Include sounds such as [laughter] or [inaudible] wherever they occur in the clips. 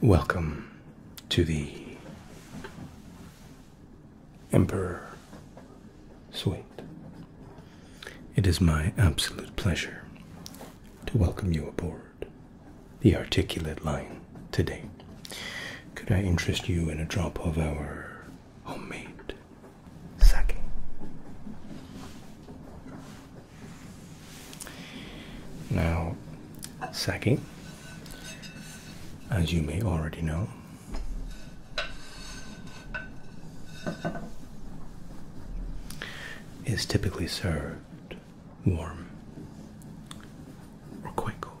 Welcome to the Emperor Suite. It is my absolute pleasure to welcome you aboard the Articulate Line today. Could I interest you in a drop of our homemade sake? Now, sake, as you may already know, is typically served warm or quite cold.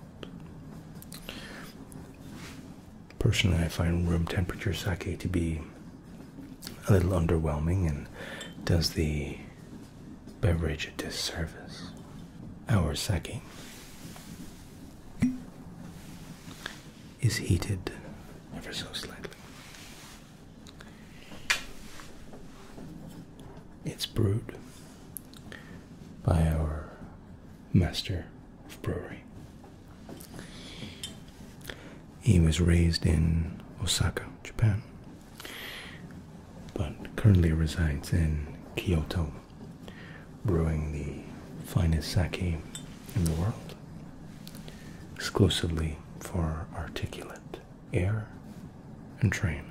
Personally, I find room temperature sake to be a little underwhelming and does the beverage this service, Our sake is heated ever so slightly. It's brewed by our master of brewery. He was raised in Osaka, Japan, but currently resides in Kyoto, brewing the finest sake in the world, exclusively for articulate air and train.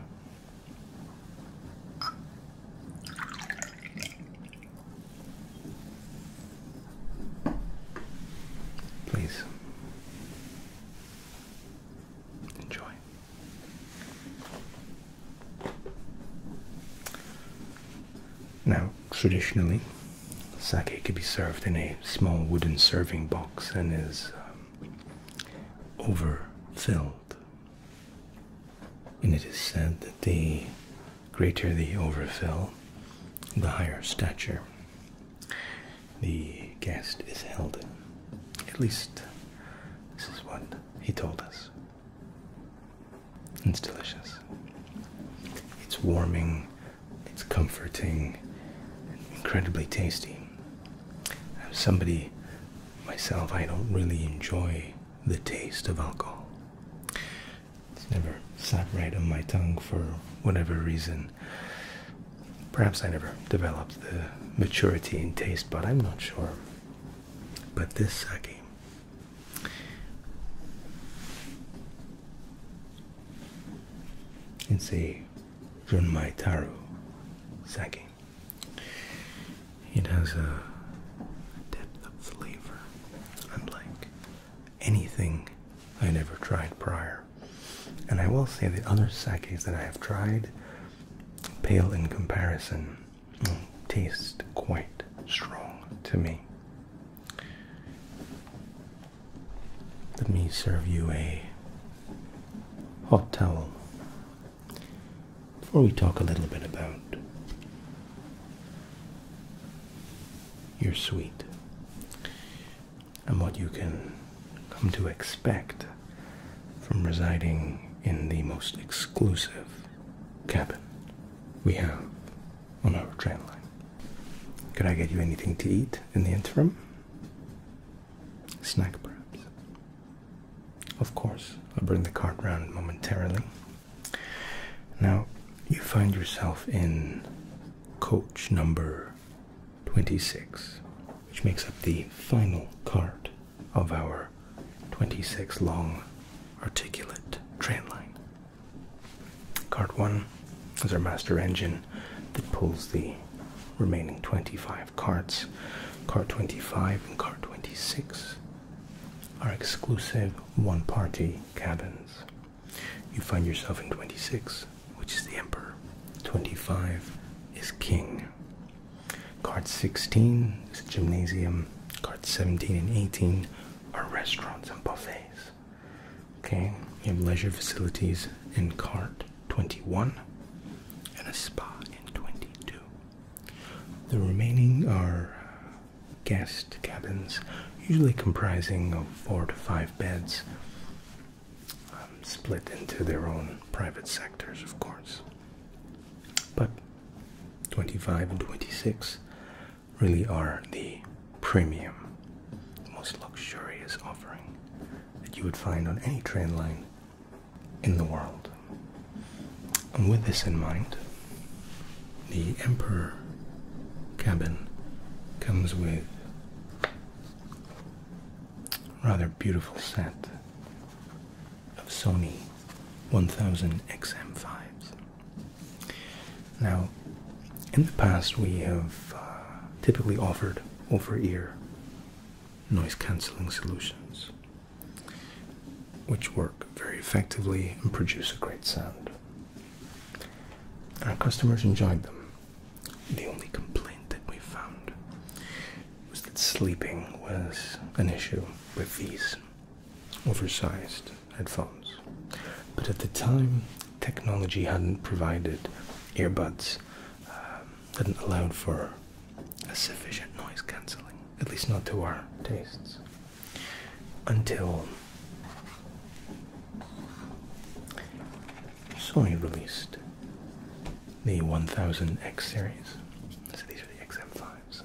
Please enjoy. Now, traditionally, sake could be served in a small wooden serving box and is um, overfilled. And it is said that the greater the overfill, the higher stature the guest is held At least, this is what he told us. It's delicious. It's warming, it's comforting, incredibly tasty. I'm somebody myself, I don't really enjoy the taste of alcohol. It's never sat right on my tongue for whatever reason. Perhaps I never developed the maturity in taste, but I'm not sure. But this sake. It's a Junmai Taru sake. It has a depth of flavor unlike anything i never tried prior. And I will say the other sakis that I have tried pale in comparison, mm, taste quite strong to me. Let me serve you a hot towel before we talk a little bit about your sweet and what you can come to expect from residing in the most exclusive cabin we have on our train line. Could I get you anything to eat in the interim? Snack, perhaps. Of course, I'll bring the cart round momentarily. Now, you find yourself in coach number 26, which makes up the final cart of our 26 long articulate train line. Card 1 is our master engine that pulls the remaining 25 carts. Card 25 and card 26 are exclusive one party cabins. You find yourself in 26 which is the Emperor. 25 is King. Card 16 is Gymnasium. Cards 17 and 18 are restaurants and buffets. Okay, you have leisure facilities in card 21 and a spa in 22. The remaining are guest cabins, usually comprising of four to five beds. Um, split into their own private sectors, of course. But 25 and 26 really are the premium, the most luxurious offering that you would find on any train line in the world. And with this in mind, the Emperor cabin comes with rather beautiful set of Sony 1000XM5s. Now, in the past, we have uh, typically offered over ear noise cancelling solutions, which work very effectively and produce a great sound. Our customers enjoyed them. The only complaint that we found was that sleeping was an issue with these oversized headphones. But at the time, technology hadn't provided earbuds, um, hadn't allowed for a sufficient noise cancelling, at least not to our tastes, until Sony released the 1000X series. So these are the XM5s.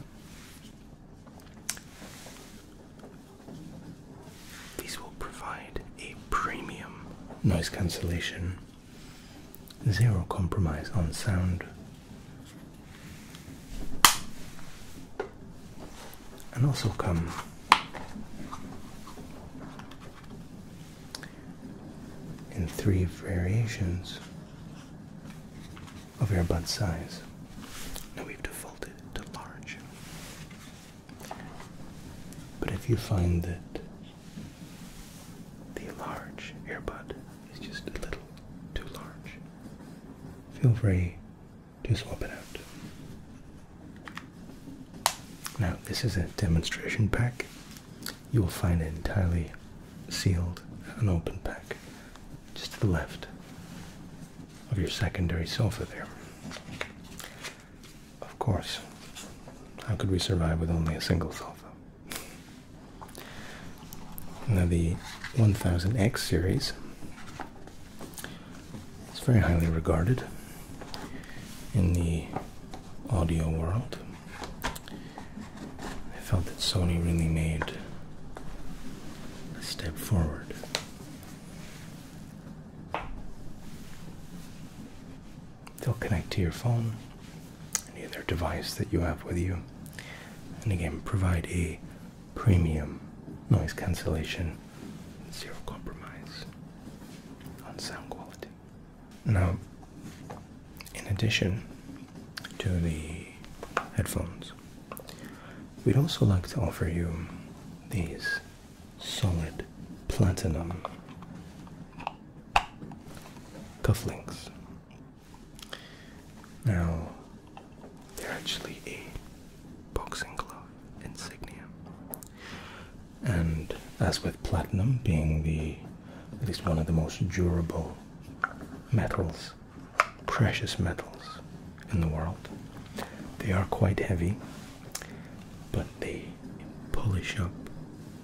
These will provide a premium noise cancellation, zero compromise on sound, and also come in three variations of earbud size. Now we've defaulted to large. But if you find that the large earbud is just a little too large, feel free to swap it out. Now, this is a demonstration pack you will find it entirely sealed, an open pack, just to the left of your secondary sofa there. Of course, how could we survive with only a single sofa? Now the 1000X series is very highly regarded in the audio world. I felt that Sony really made a step forward. They'll connect to your phone, any other device that you have with you, and again provide a premium noise cancellation, zero compromise on sound quality. Now, in addition to the headphones, we'd also like to offer you these solid platinum cufflinks. Now, they're actually a boxing glove insignia, and as with platinum being the at least one of the most durable metals, precious metals in the world, they are quite heavy, but they polish up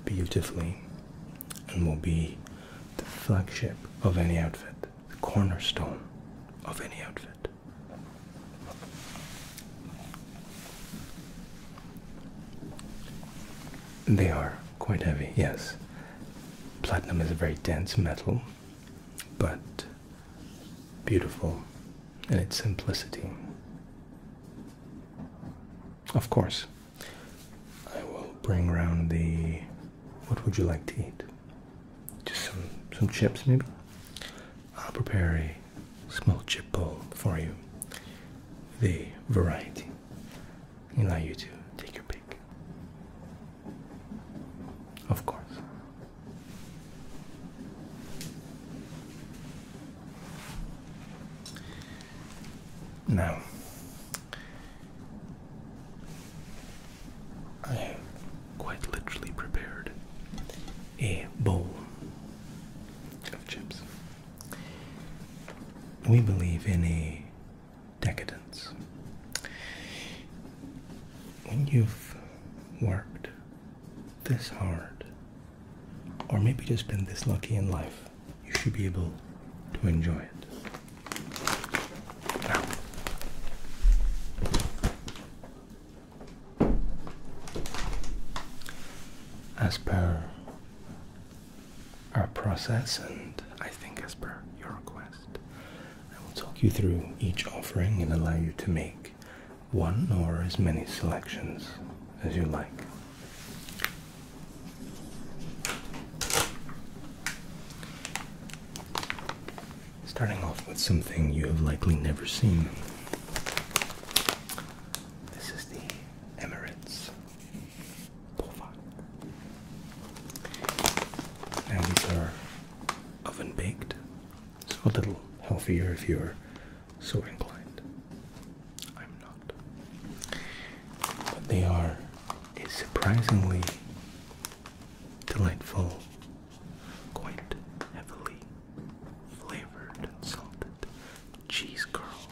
beautifully and will be the flagship of any outfit, the cornerstone of any outfit. They are quite heavy, yes. Platinum is a very dense metal, but beautiful in its simplicity. Of course, I will bring around the. What would you like to eat? Just some some chips, maybe. I'll prepare a small chip bowl for you. The variety allow you to take your pick. Of course. Now, I have quite literally prepared a bowl of chips. We believe in a decadence. When you've worked this hard, or maybe just been this lucky in life, you should be able to enjoy it. Now, as per our process, and I think as per your request, I will talk you through each offering and allow you to make one or as many selections as you like. Starting off with something you have likely never seen. This is the Emirates now these are oven baked, so a little healthier if you're so inclined. I'm not. But they are a surprisingly delightful, quite heavily flavored and salted cheese curls.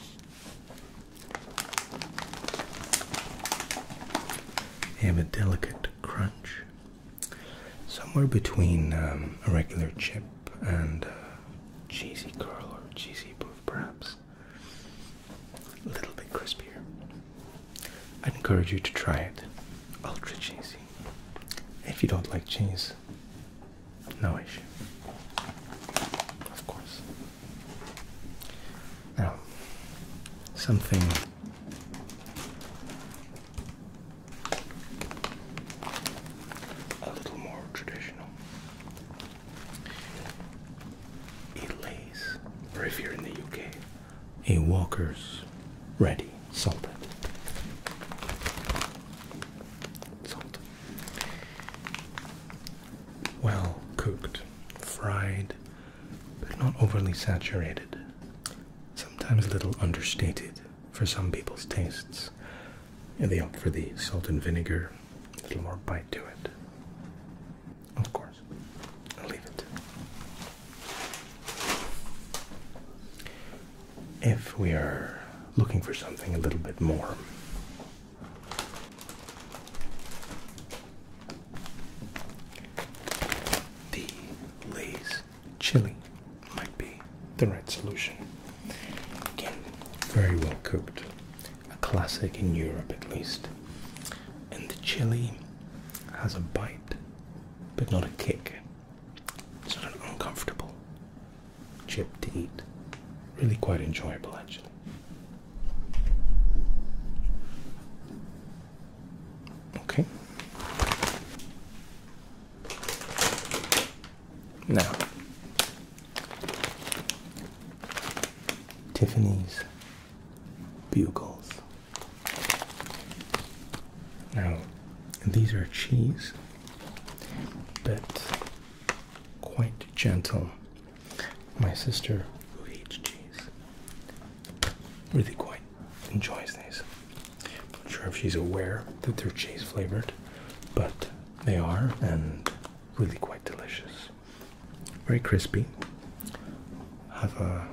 They have a delicate crunch, somewhere between um, a regular chip and uh, cheesy curl or cheesy puff, perhaps. A little bit crispier. I'd encourage you to try it. Ultra cheesy. If you don't like cheese, no issue. Of course. Now, something a little more traditional. A lays, or if you're in the UK, a Walker's ready salted. Salt well cooked, fried, but not overly saturated, sometimes a little understated for some people's tastes. And they opt for the salt and vinegar, a little more bite to it. Of course, I'll leave it. If we are looking for something a little bit more the Lay's chili might be the right solution. Again, very well cooked, a classic in Europe at least. And the chili has a bite, but not a kick. It's not uncomfortable chip to eat. Really quite enjoyable, actually. Okay. Now, Tiffany's bugles. Now, these are cheese, but quite gentle. My sister, who eats cheese, really quite enjoys these. I'm not sure if she's aware that they're cheese flavored, but they are and really quite delicious. Very crispy, have a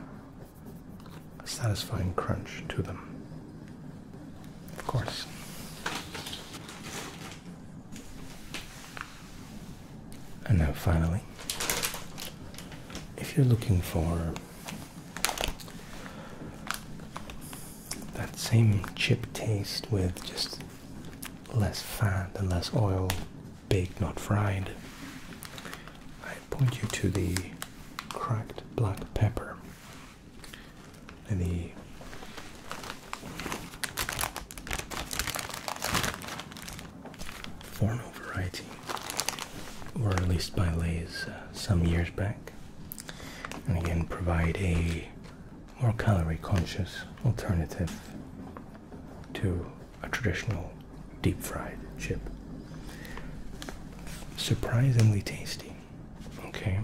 satisfying crunch to them. Of course. And now, finally, if you're looking for that same chip taste with just less fat and less oil, baked not fried, I point you to the cracked black pepper the formal variety were released by Lay's uh, some years back and again provide a more calorie conscious alternative to a traditional deep fried chip. Surprisingly tasty. Okay,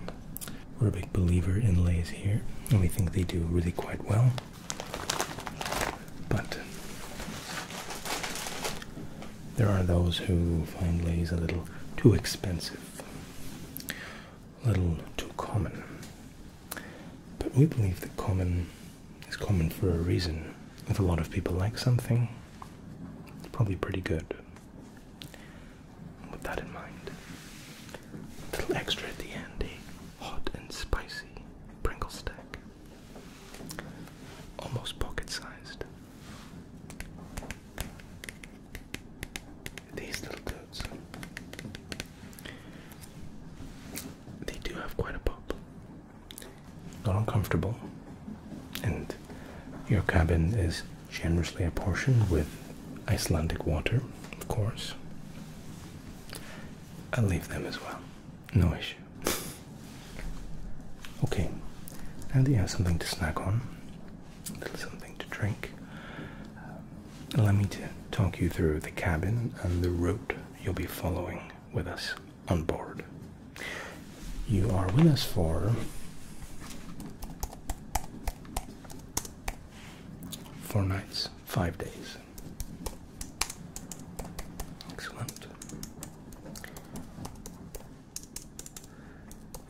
we're a big believer in lays here, and we think they do really quite well. But there are those who find lays a little too expensive, a little too common. But we believe that common is common for a reason. If a lot of people like something, it's probably pretty good with that in mind. A little extra at the end, a hot and spicy Pringle stack. Almost pocket sized. These little dudes. They do have quite a pop. Not uncomfortable. And your cabin is generously apportioned with Icelandic water, of course. I'll leave them as well. No issue. [laughs] okay, And that you have something to snack on, a little something to drink, um, allow me to talk you through the cabin and the route you'll be following with us on board. You are with us for four nights, five days. Excellent.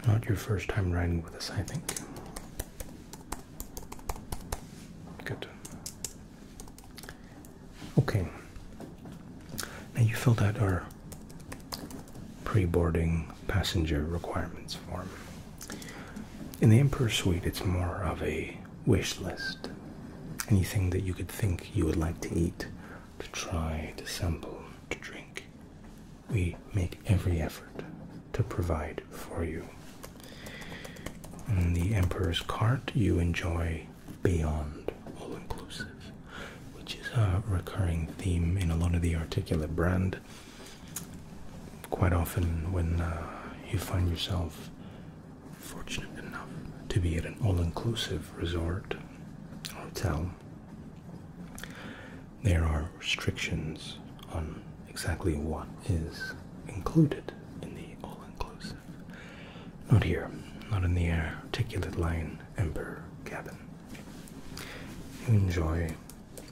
Not your first time riding with us, I think. Good. Okay. Now you filled out our pre boarding passenger requirements form. In the Emperor's Suite, it's more of a wish list. Anything that you could think you would like to eat, to try, to sample, to drink. We make every effort to provide for you. In the Emperor's Cart, you enjoy Beyond All Inclusive, which is a recurring theme in a lot of the Articulate brand. Quite often, when uh, you find yourself fortunate enough to be at an all inclusive resort hotel, there are restrictions on exactly what is included in the all inclusive. Not here, not in the air. articulate line Emperor cabin. You enjoy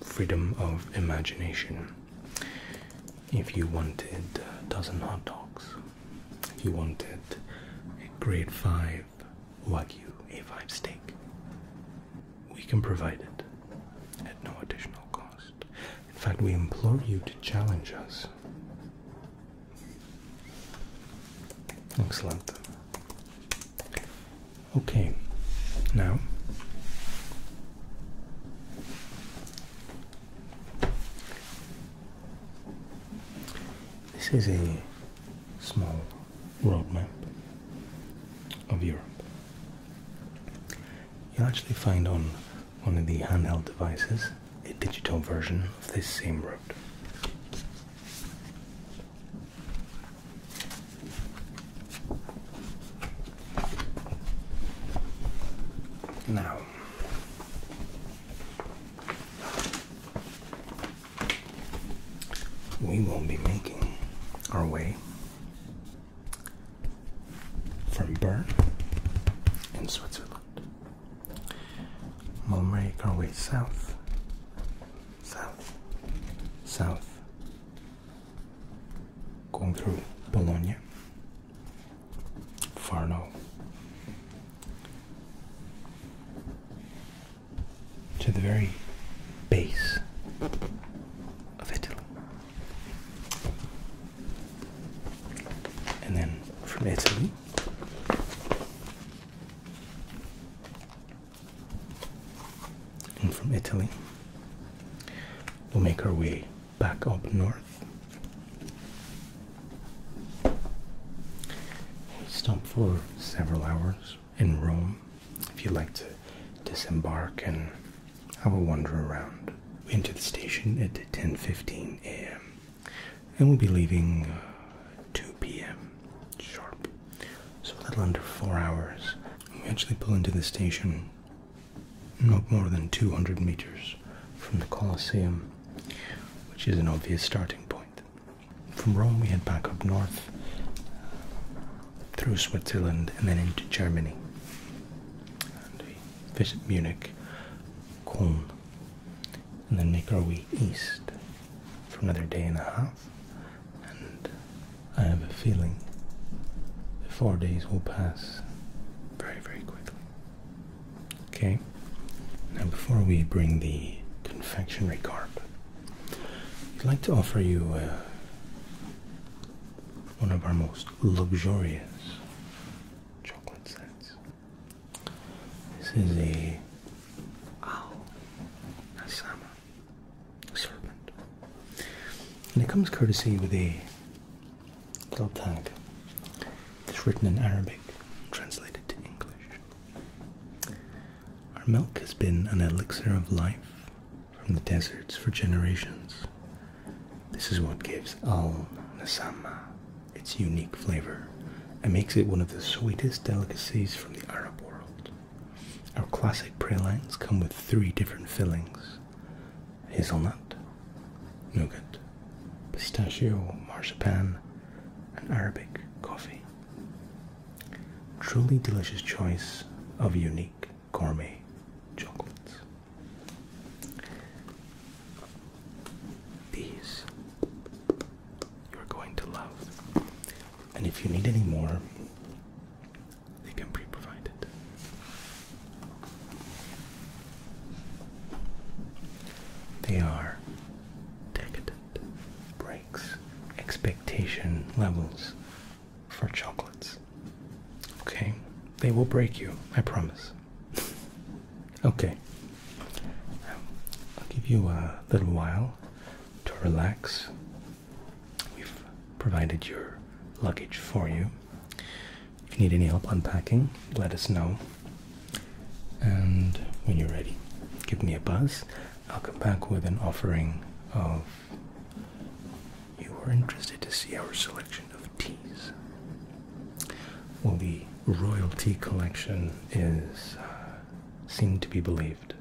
freedom of imagination if you wanted a dozen hot dogs, if you wanted a grade 5 Wagyu A5 steak, we can provide it at no additional cost. In fact, we implore you to challenge us. Excellent. Okay, now this is a small world map of Europe. You'll actually find on one of the handheld devices a digital version of this same road. Now, we will be making our way from Bern in Switzerland. We'll make our way south, south, south, going through Bologna, Farno, to the very base of Italy. And then from Italy, and from Italy. We'll make our way back up north. We stop for several hours in Rome if you'd like to disembark and have a wander around. We enter the station at 10.15 a.m. and we'll be leaving uh, 2 p.m. sharp. So a little under four hours. We actually pull into the station not more than 200 meters from the Colosseum, which is an obvious starting point. From Rome, we head back up north uh, through Switzerland and then into Germany. we visit Munich, Cologne, and then make our way east for another day and a half. I have a feeling the four days will pass very, very quickly. Okay, now before we bring the confectionery carp, I'd like to offer you uh, one of our most luxurious chocolate sets. This is a owl, Asama serpent. And it comes courtesy with a little tag that's written in Arabic, translated to English. Our milk has been an elixir of life from the deserts for generations. This is what gives Al Nasama its unique flavor and makes it one of the sweetest delicacies from the Arab world. Our classic pralines come with three different fillings hazelnut, nougat, pistachio, marzipan, and Arabic coffee. Truly delicious choice of unique gourmet chocolates. These you're going to love. And if you need any more, they can be provided. They are decadent breaks expectation levels for chocolates. Okay, they will break you, I promise. okay, I'll give you a little while to relax We've provided your luggage for you. If you need any help unpacking, let us know. And when you're ready, give me a buzz. I'll come back with an offering of. You are interested to see our selection of teas. Well, the royal tea collection is uh, to be believed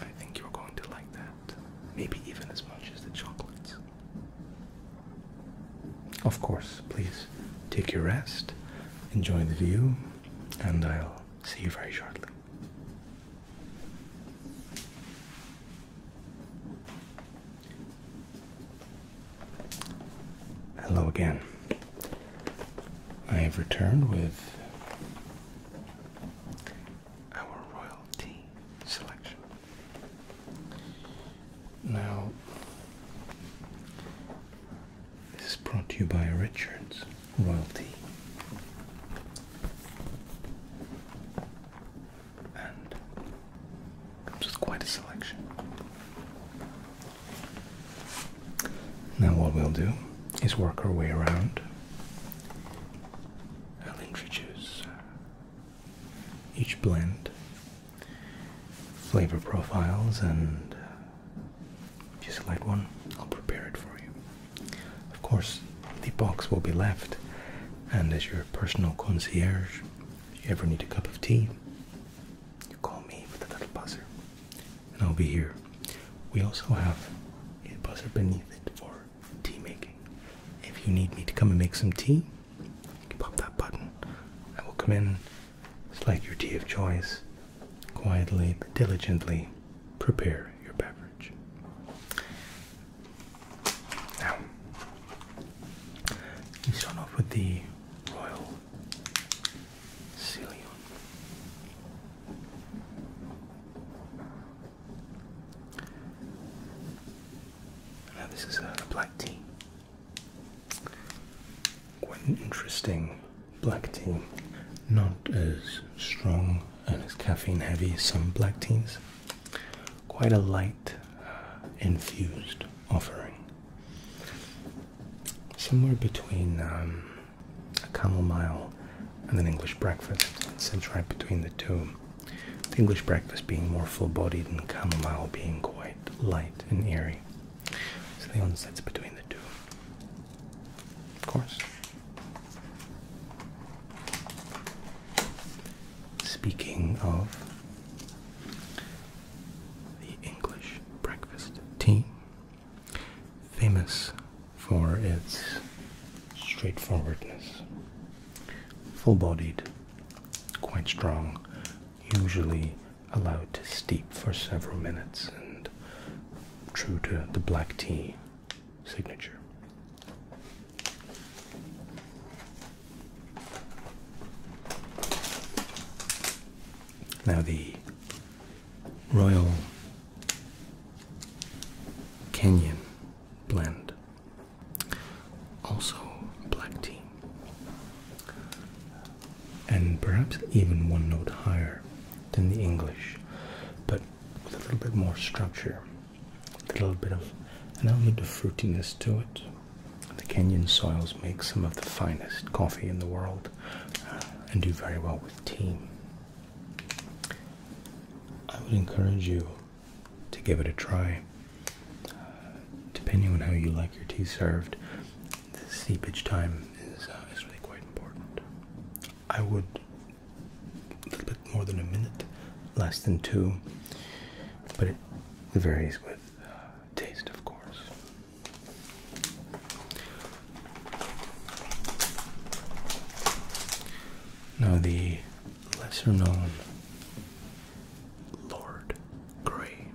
I think you're going to like that. Maybe even as much as the chocolates. Of course, please take your rest, enjoy the view, and I'll see you very shortly. Hello again. I have returned with our royal selection. Now, this is brought to you by Richards Royalty. And comes with quite a selection. Now, what we'll do is work our way around I'll introduce uh, each blend, flavor profiles, and uh, if you select one, I'll prepare it for you. Of course, the box will be left, and as your personal concierge, if you ever need a cup of tea, you call me with a little buzzer, and I'll be here. We also have a buzzer beneath it for tea making. If you need me to come and make some tea, pop that button. I will come in, select your tea of choice, quietly but diligently prepare your beverage. Now, we start off with the royal Ceylon. Now this is a black tea. Quite an interesting black tea. Not as strong and as caffeine heavy some black teas. Quite a light uh, infused offering. Somewhere between um, a chamomile and an English breakfast. It sits right between the two the English breakfast being more full bodied and chamomile being quite light and airy. So the onsets between the two. Of course. Speaking of the English breakfast tea, famous for its straightforwardness full bodied, quite strong, usually allowed to steep for several minutes and true to the black tea signature. Now, the Royal Kenyan blend. Also, black tea. And perhaps even one note higher than the English, but with a little bit more structure, a little bit of an element of fruitiness to it. The Kenyan soils make some of the finest coffee in the world uh, and do very well with tea. I would encourage you to give it a try. Uh, depending on how you like your tea served, the seepage time is, uh, is really quite important. I would a little bit more than a minute, less than two, but it varies with uh, taste, of course. Now, the lesser known Lord Grey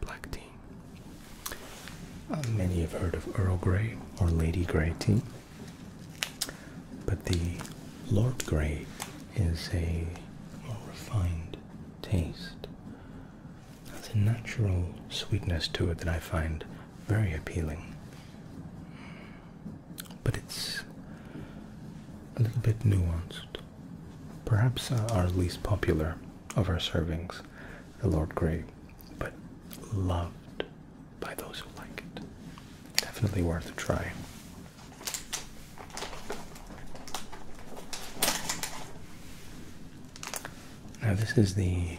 black tea. Uh, many have heard of Earl Grey or Lady Grey tea, but the Lord Grey is a more refined taste. Has a natural sweetness to it that I find very appealing but it's a little bit nuanced. Perhaps our least popular of our servings, the Lord Grey, but loved by those who like it. Definitely worth a try. Now, this is the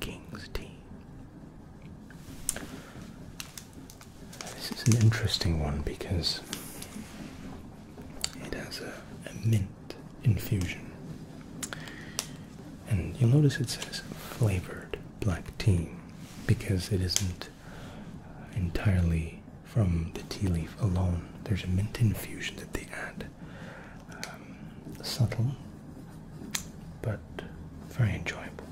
King's Tea. This is an interesting one because it has a, mint infusion. And you'll notice it says flavored black tea because it isn't entirely from the tea leaf alone. There's a mint infusion that they add. Um, subtle but very enjoyable.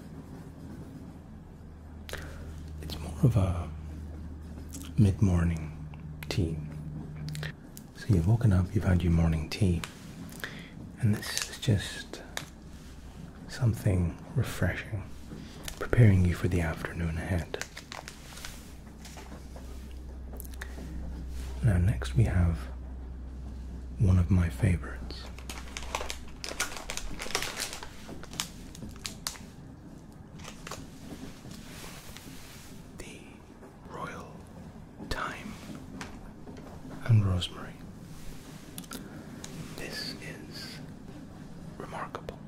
It's more of a mid morning tea. So you've woken up, you've had your morning tea, and this is just something refreshing, preparing you for the afternoon ahead. Now, next we have one of my favorites. The royal thyme and rosemary. This is remarkable.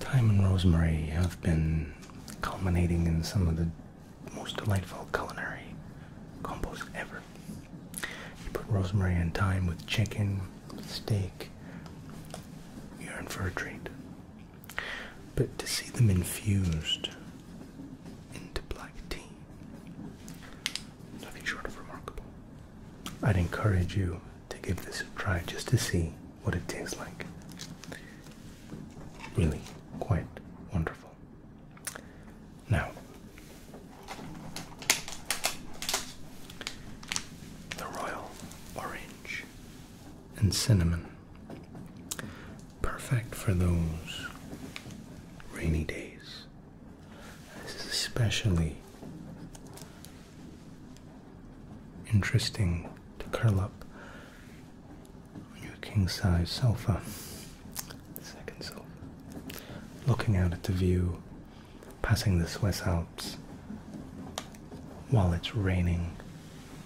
Thyme and rosemary have been culminating in some of the most delightful culinary combos ever. You put rosemary and thyme with chicken, steak, you're in for a treat. But to see them infused into black tea, nothing short of remarkable. I'd encourage you to give this a try just to see what it tastes like. Really quite wonderful. Now, the royal orange and cinnamon. Perfect for those rainy days. especially interesting to curl up on your king size sofa, second sofa, looking out at the view, passing the Swiss Alps while it's raining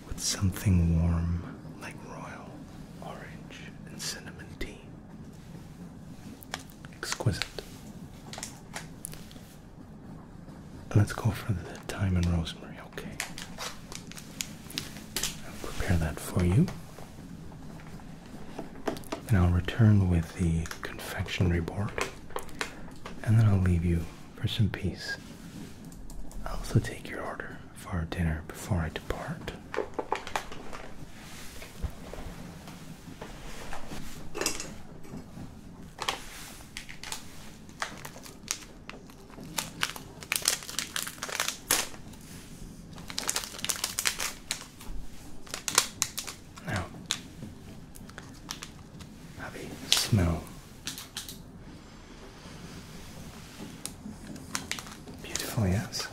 with something warm like royal orange and cinnamon tea. Exquisite. Let's go for the thyme and rosemary, okay? I'll prepare that for you. And I'll return with the confectionery board. And then I'll leave you for some peace. I'll also take your order for dinner before I depart. Now, have a smell. Beautiful, yes.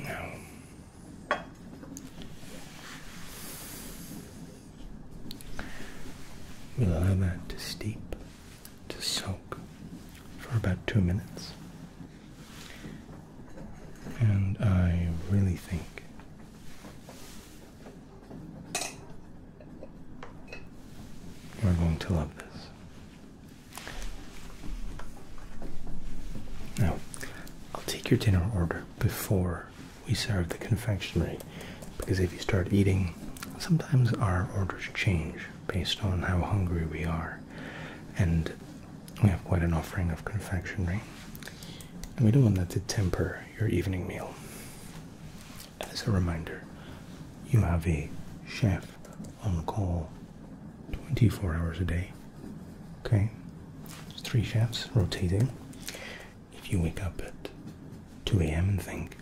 Now, we'll allow that to steep, to soak for about two minutes. And I really think we are going to love this. Now, I'll take your dinner order before we serve the confectionery because if you start eating, sometimes our orders change based on how hungry we are. And we have quite an offering of confectionery we don't want that to temper your evening meal. As a reminder, you have a chef on call 24 hours a day. Okay? three chefs rotating. If you wake up at 2 a.m. and think,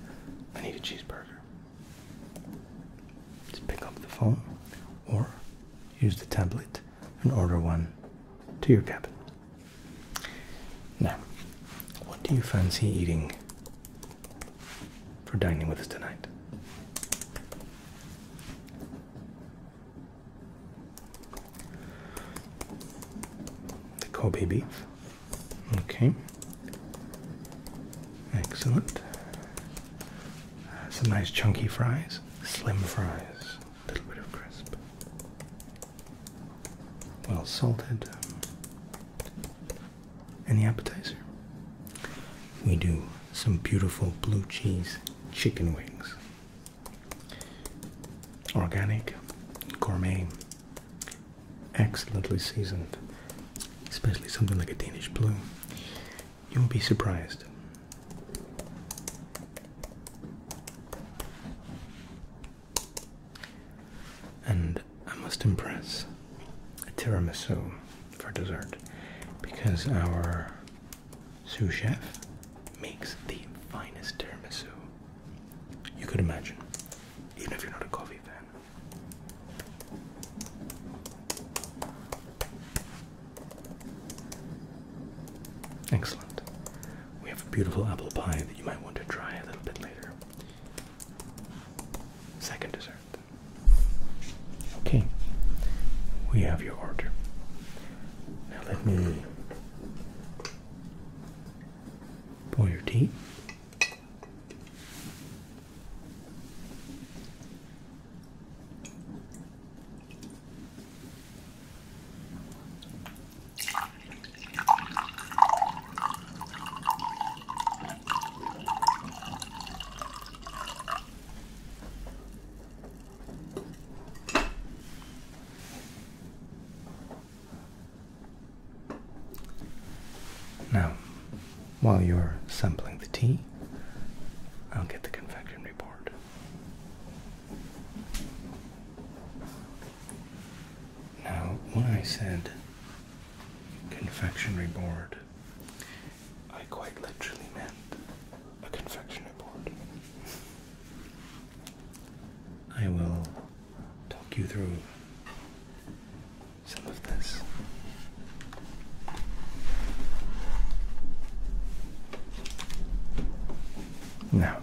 I need a cheeseburger, just pick up the phone or use the tablet and order one to your cabin. Now, what do you fancy eating for dining with us tonight? The Kobe beef. Okay. Excellent. Some nice chunky fries, slim fries a little bit of crisp. Well salted. Um, any appetizer. We do some beautiful blue cheese chicken wings. Organic, gourmet, excellently seasoned, especially something like a Danish blue. You will be surprised and I must impress a tiramisu for dessert because our sous chef makes the finest tiramisu you could imagine, even if you're not a coffee fan. Excellent. We have a beautiful apple pie that you might want to try a little bit later. Second dessert. Okay, we have your order. Now let me pull your teeth. Now, while you're sampling the tea, I'll get the confectionery board. Now, when I said confectionery board, I quite literally meant a confectionery board. I will talk you through some of this. Now,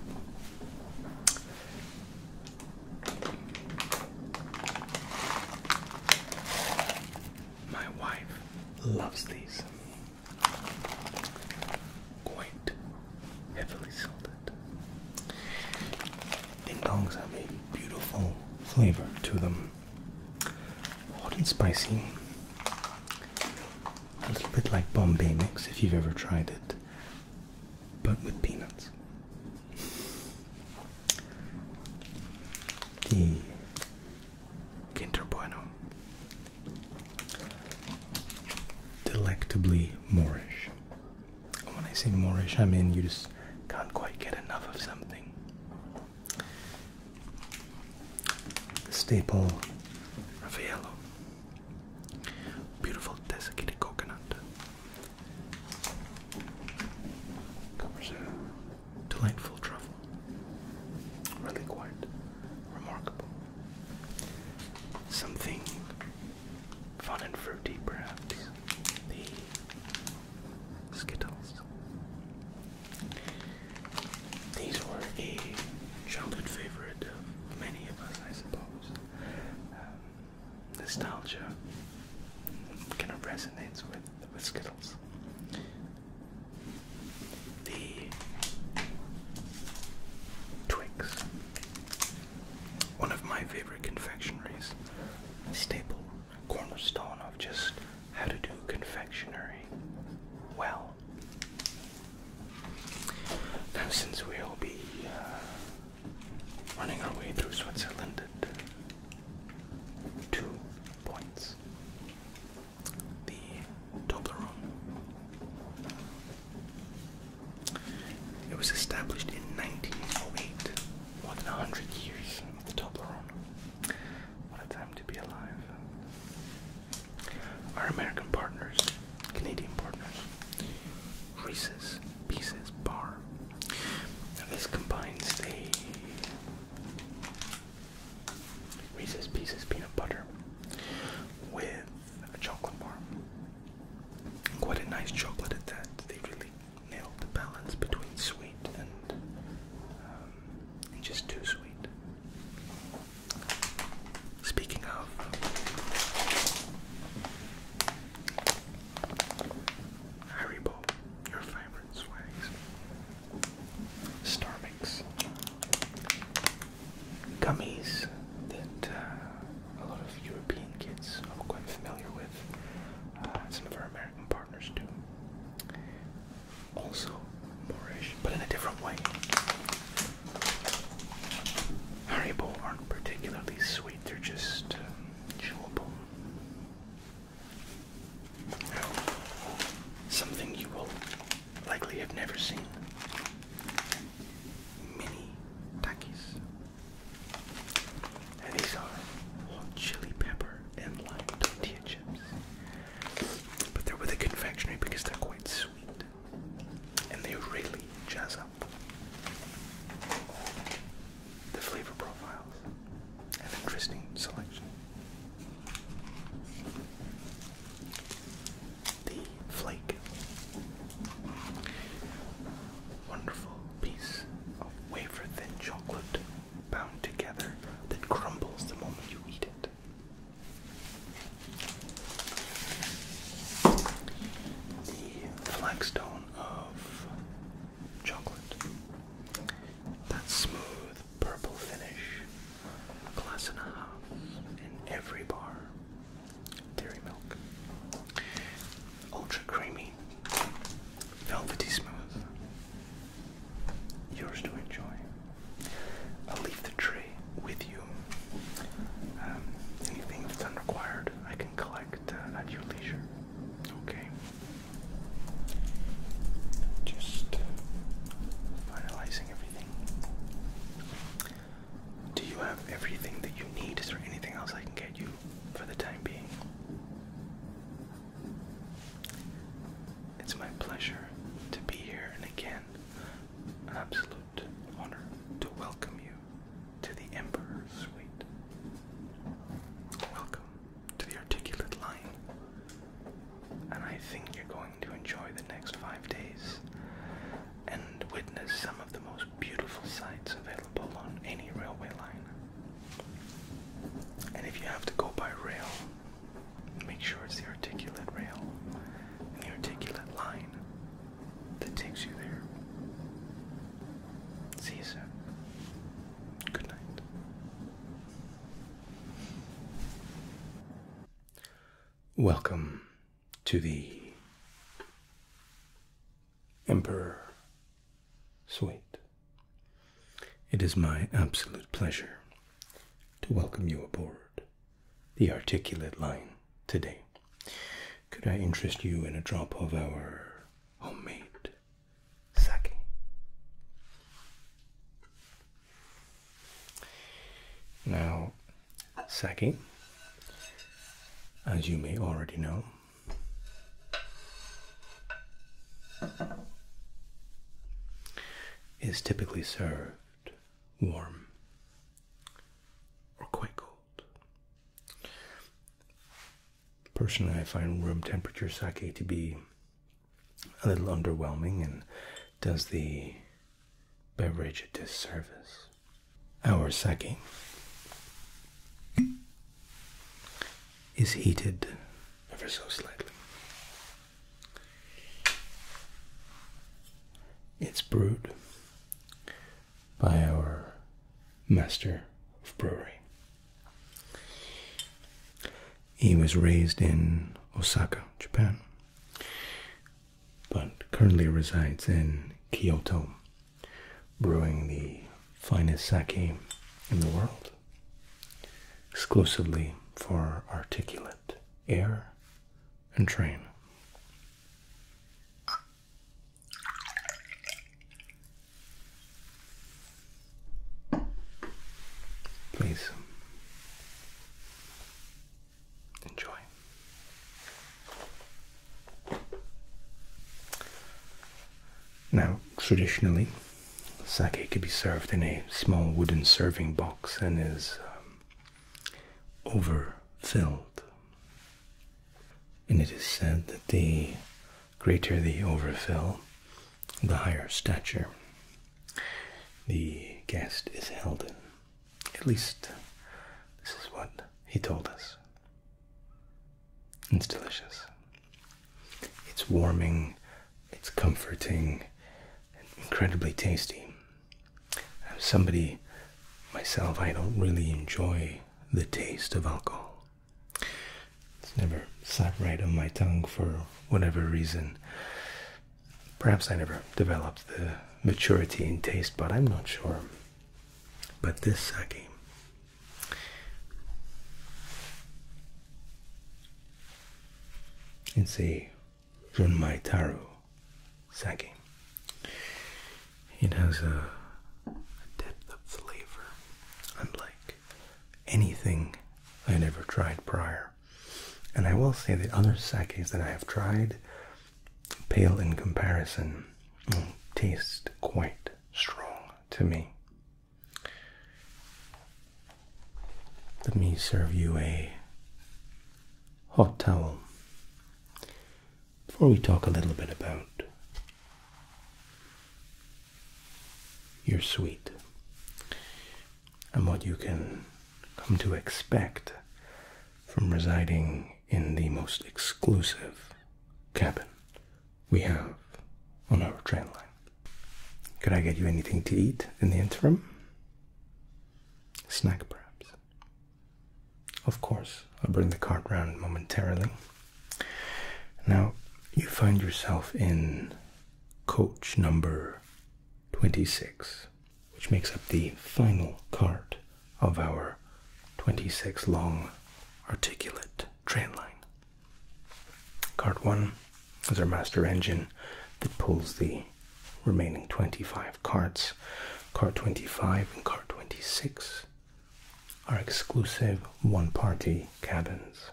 my wife loves these. Quite heavily salted. Ding dongs have a beautiful flavor to them. Hot and spicy a little bit like Bombay mix if you've ever tried it, but with peanuts. The Kinder Bueno. Delectably Moorish. When I say Moorish, I mean you just can't quite get enough of something. Staple Raffaello. Beautiful desiccated coconut. Covers delightful truffle. Really quite remarkable. Something fun and fruity, perhaps. The Skittles. These were a childhood favorite of many of us, I suppose. Um, nostalgia kind of resonates with, with Skittles. The Twix, one of my favorite confectionaries, staple, cornerstone of just how to do confectionery well. Now, since we'll be uh, running our way through Switzerland uh, two points, the Toblerone. It was established in 1908, more than 100 years of the Toblerone. What a time to be alive. Our American partners, Canadian partners, Reese's Pieces Bar. this combines the Reese's Pieces peanut butter with a chocolate bar. Quite a nice chocolate at that. They really nailed the balance between sweet and um, just too sweet. Speaking of Haribo, your favorite swags. Starmix. Gummies that uh, a lot of European kids are quite familiar with. Uh, some of our American partners do also Moorish, but in a different way. Haribo aren't particularly sweet, they're just um, chewable. Now, something you will likely have never seen mini takis. And these are hot chili pepper and lime tortilla chips. But they're with a confectionery because they're quite sweet and they really jazz up the flavor profiles. and interesting selection. The flake. Wonderful piece of wafer thin chocolate bound together that crumbles the moment you eat it. The flagstone of chocolate. That smooth purple finish. Glass and a half in every bar. Dairy milk. Ultra creamy. Velvety smooth. Yours to enjoy. I'll leave the tray with you. Um, anything that's unrequired, I can collect uh, at your leisure. Okay. Just finalizing everything. Do you have everything that you need? Is there anything else I can get you for the time being? It's my pleasure to be here, again, and an absolute honor to welcome you to the Emperor's Suite. Welcome to the Articulate Line. And I think you're going to enjoy the next five days and witness some of the most beautiful sights available on any railway line. And if you have to go by rail, Make sure it's the articulate rail and the articulate line that takes you there. See you soon. Good night. Welcome to the Emperor Suite. It is my absolute pleasure to welcome you aboard the articulate line today. Could I interest you in a drop of our homemade sake? Now, sake, as you may already know, is typically served warm, or quite cold. Personally, I find room temperature sake to be a little underwhelming and does the beverage a disservice. Our sake is heated ever so slightly. It's brewed by our master of brewery. He was raised in Osaka, Japan, but currently resides in Kyoto, brewing the finest sake in the world exclusively for articulate air and train. Please enjoy. Now, traditionally, sake could be served in a small wooden serving box and is um, overfilled. And it is said that the greater the overfill, the higher stature the guest is held in. At least, this is what he told us. It's delicious. It's warming, it's comforting, incredibly tasty. I'm somebody myself, I don't really enjoy the taste of alcohol. It's never sat right on my tongue for whatever reason. Perhaps I never developed the maturity in taste, but I'm not sure. But this sake. It's see. From my taro Sake. It has a, depth of flavor unlike anything I had ever tried prior. And I will say that other sakes that I have tried pale in comparison mm, taste quite strong to me. Let me serve you a hot towel before we talk a little bit about your suite and what you can come to expect from residing in the most exclusive cabin we have on our train line. Could I get you anything to eat in the interim? Snack, perhaps. Of course, I'll bring the cart round momentarily. Now, you find yourself in coach number 26, which makes up the final cart of our 26 long articulate train line. Cart 1 is our master engine that pulls the remaining 25 cards. Card 25 and card 26 are exclusive one party cabins.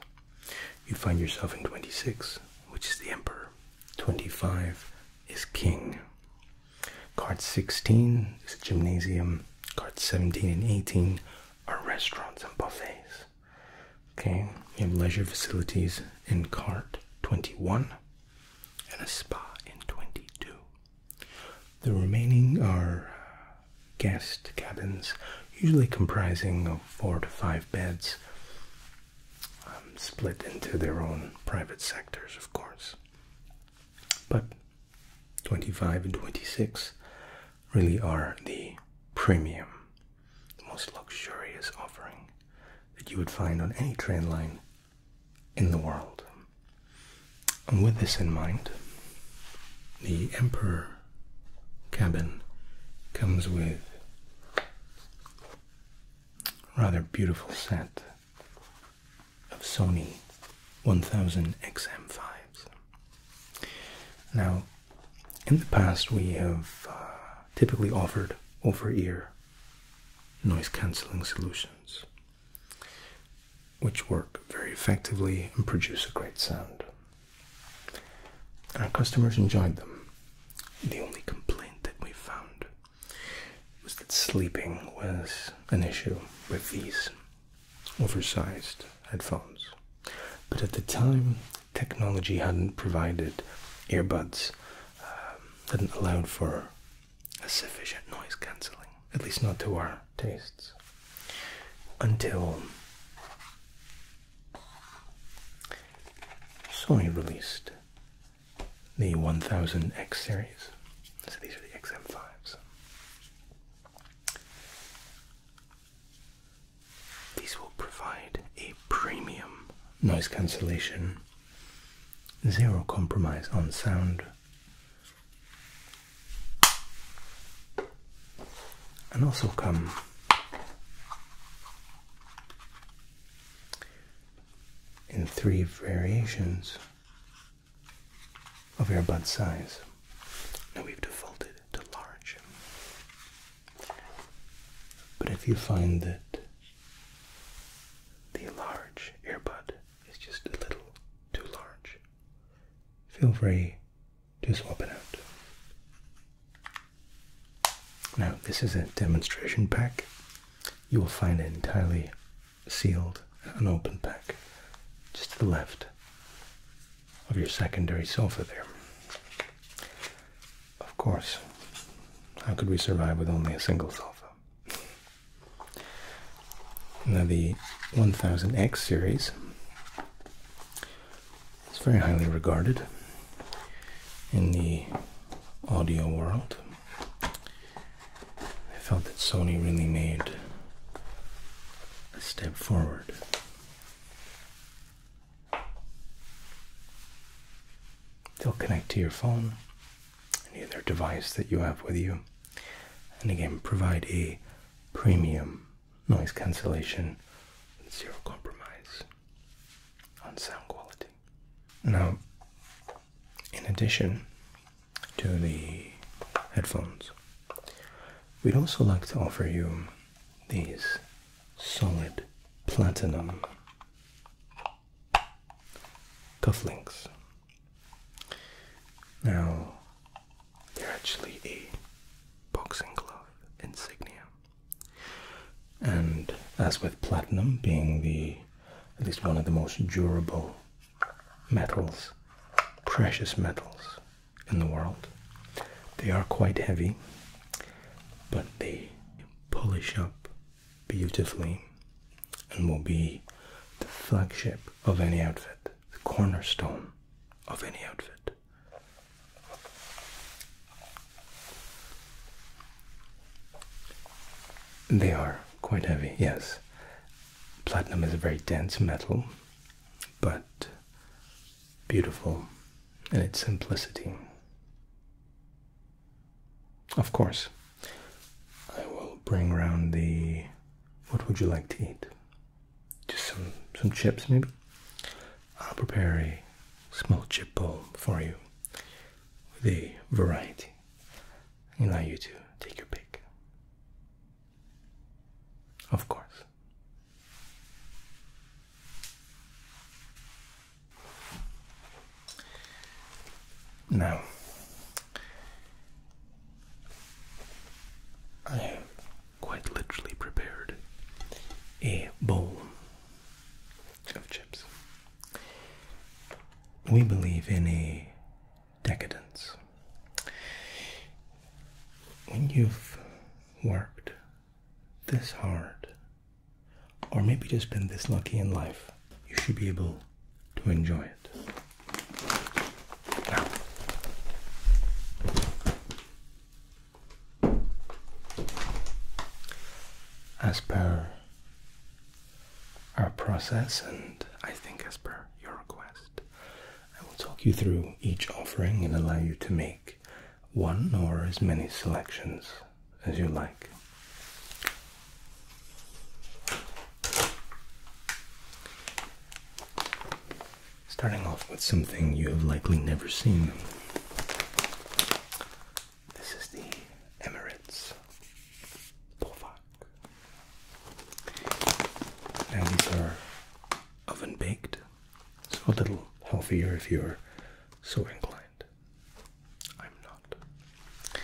You find yourself in 26, which is the Emperor, 25 is King. Card 16 is a gymnasium. Cards 17 and 18 are restaurants and buffets. Okay, you have leisure facilities in card 21 and a spa in 22. The remaining are uh, guest cabins, usually comprising of four to five beds, um, split into their own private sectors, of course. But 25 and 26 really are the premium, the most luxurious offering that you would find on any train line in the world. And with this in mind, the Emperor cabin comes with rather beautiful set of Sony 1000XM5s. Now, in the past, we have uh, typically offered over ear noise cancelling solutions, which work very effectively and produce a great sound. Our customers enjoyed them. The only complaint that we found was that sleeping was an issue with these oversized headphones. But at the time, technology hadn't provided earbuds um, hadn't allowed for a sufficient noise cancelling, at least not to our tastes, until Sony released the 1000X series. So these are the XM5s. These will provide a premium noise cancellation Zero compromise on sound. And also come in three variations of earbud size. Now we've defaulted to large. But if you find that the large earbud is just a little too large. Feel free to swap it out. Now, this is a demonstration pack. You will find an entirely sealed, unopened pack just to the left of your secondary sofa there. Of course. How could we survive with only a single cell phone? Now the 1000X series is very highly regarded in the audio world. I felt that Sony really made a step forward. They'll connect to your phone any other device that you have with you. And again, provide a premium noise cancellation with zero compromise on sound quality. Now, in addition to the headphones, we'd also like to offer you these solid platinum cufflinks. Now, they're actually a boxing glove insignia. And as with platinum being the at least one of the most durable metals, precious metals in the world, they are quite heavy, but they polish up beautifully and will be the flagship of any outfit, the cornerstone of any outfit. They are quite heavy, yes. Platinum is a very dense metal, but beautiful in its simplicity. Of course, I will bring round the. What would you like to eat? Just some some chips, maybe. I'll prepare a small chip bowl for you with a variety, and allow you to take your pick. Of course. Now, I have quite literally prepared a bowl of chips. We believe in a decadence. When you've worked this hard or maybe just been this lucky in life, you should be able to enjoy it. as per our process, and I think as per your request, I will talk you through each offering and allow you to make one or as many selections as you like. Starting off with something you have likely never seen. This is the Emirates Povak. these are oven baked, so a little healthier if you're so inclined. I'm not.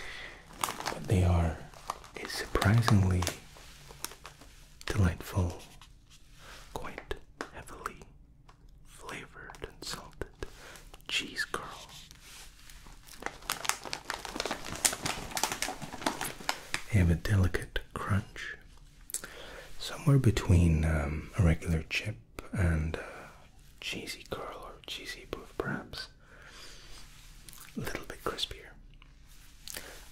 But they are a surprisingly delightful, quite heavily flavored and salted cheese curls. They have a delicate crunch, somewhere between um, a regular chip and uh, cheesy curl or cheesy poof perhaps. A little bit crispier.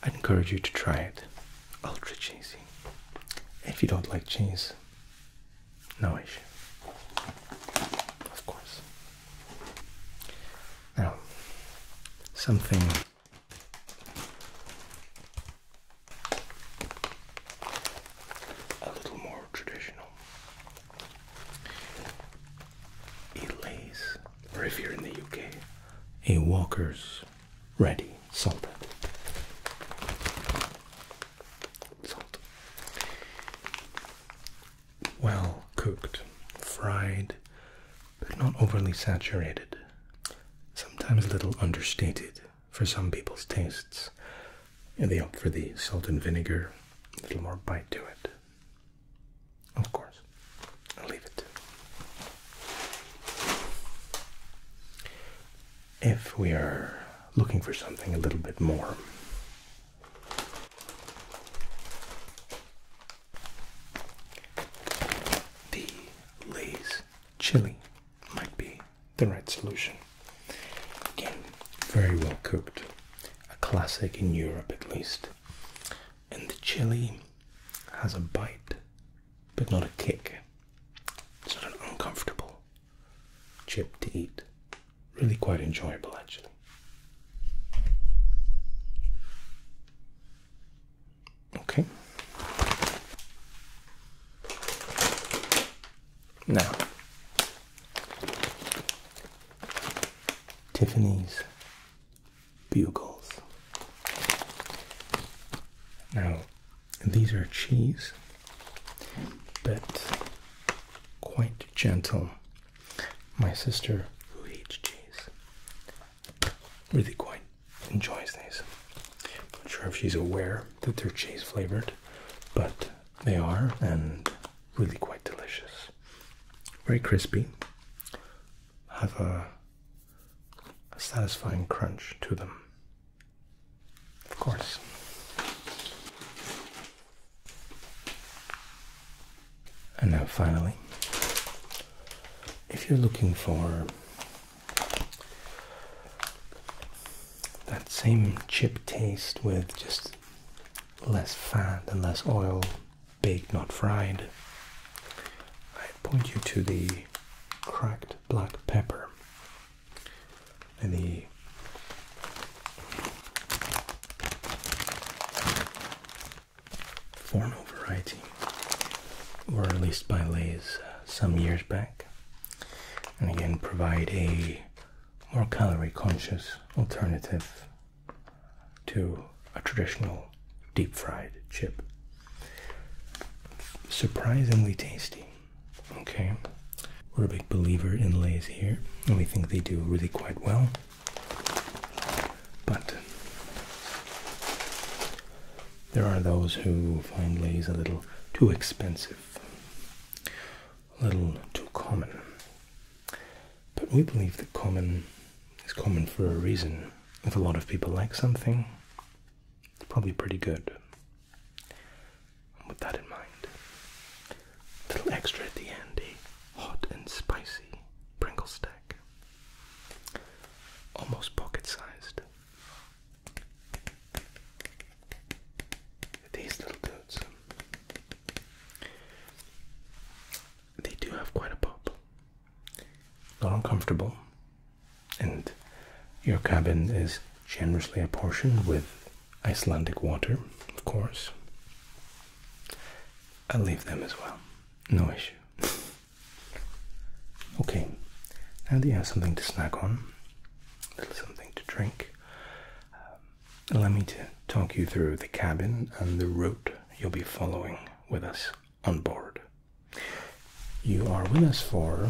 I encourage you to try it. Ultra cheesy. If you don't like cheese, no issue. Of course. Now, something a little more traditional. Elays, or if you're in the UK, a Walker's Ready Salted. Salt. Well cooked, fried, but not overly saturated. Sometimes a little understated for some people's tastes, and they opt for the salt and vinegar, a little more bite to it. Of course, leave it. If we are looking for something a little bit more, the Lay's chili might be the right solution. Again, very well cooked, a classic in Europe at least. And the chili has a bite, but not a kick. It's not an uncomfortable chip to eat. Really quite enjoyable, actually. Okay. Now, Tiffany's bugles. Now, these are cheese, but quite gentle. My sister, who eats cheese, really quite enjoys these. I'm not sure if she's aware that they're cheese flavored, but they are, and really quite delicious. Very crispy. Have a, satisfying crunch to them. Of course. And now, finally, if you're looking for that same chip taste with just less fat and less oil, baked not fried. I point you to the cracked black pepper and the Forno variety were released by Lay's uh, some years back and again provide a more calorie conscious alternative to a traditional deep fried chip. Surprisingly tasty. Okay, we're a big believer in Lay's here, and we think they do really quite well. But there are those who find Lay's a little too expensive little too common. But we believe that common is common for a reason. If a lot of people like something, it's probably pretty good. with that in mind, a little extra at the end, hot and spicy Pringle stack. Almost pocket sized. These little dudes they do have quite a pop. Not uncomfortable. And your cabin is generously apportioned with Icelandic water, of course. I'll leave them as well. No issue. [laughs] okay, now they have something to snack on, a little something to drink, um, let me talk you through the cabin and the route you'll be following with us on board. You are with us for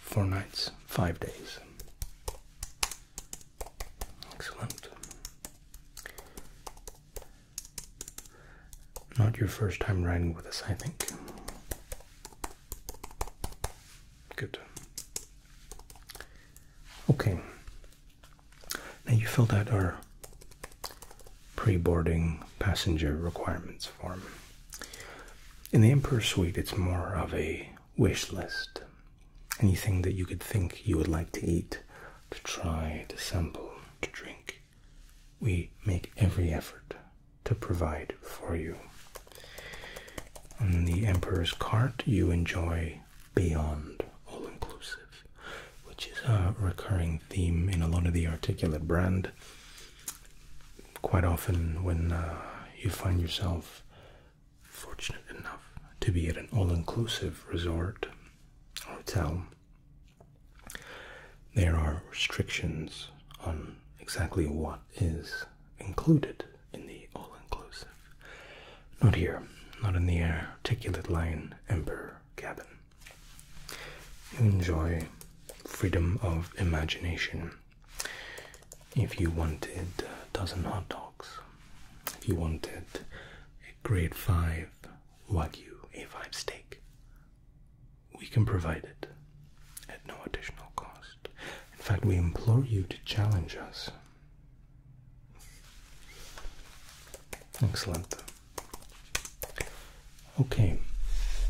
four nights, five days. Excellent. Not your first time riding with us, I think. Good. Okay. Now you filled out our preboarding passenger requirements form. In the Emperor Suite, it's more of a wish list. Anything that you could think you would like to eat, to try, to sample, to drink. We make every effort to provide for you. in the Emperor's Cart, you enjoy Beyond All Inclusive, which is a recurring theme in a lot of the Articulate brand. Quite often, when uh, you find yourself fortunate enough to be at an all inclusive resort hotel, there are restrictions on exactly what is included in the all inclusive. Not here, not in the articulate line Emperor cabin. You enjoy freedom of imagination. If you wanted a dozen hot dogs, if you wanted a grade 5 Wagyu A5 steak, we can provide it at no additional cost. In fact, we implore you to challenge us. Excellent. Okay,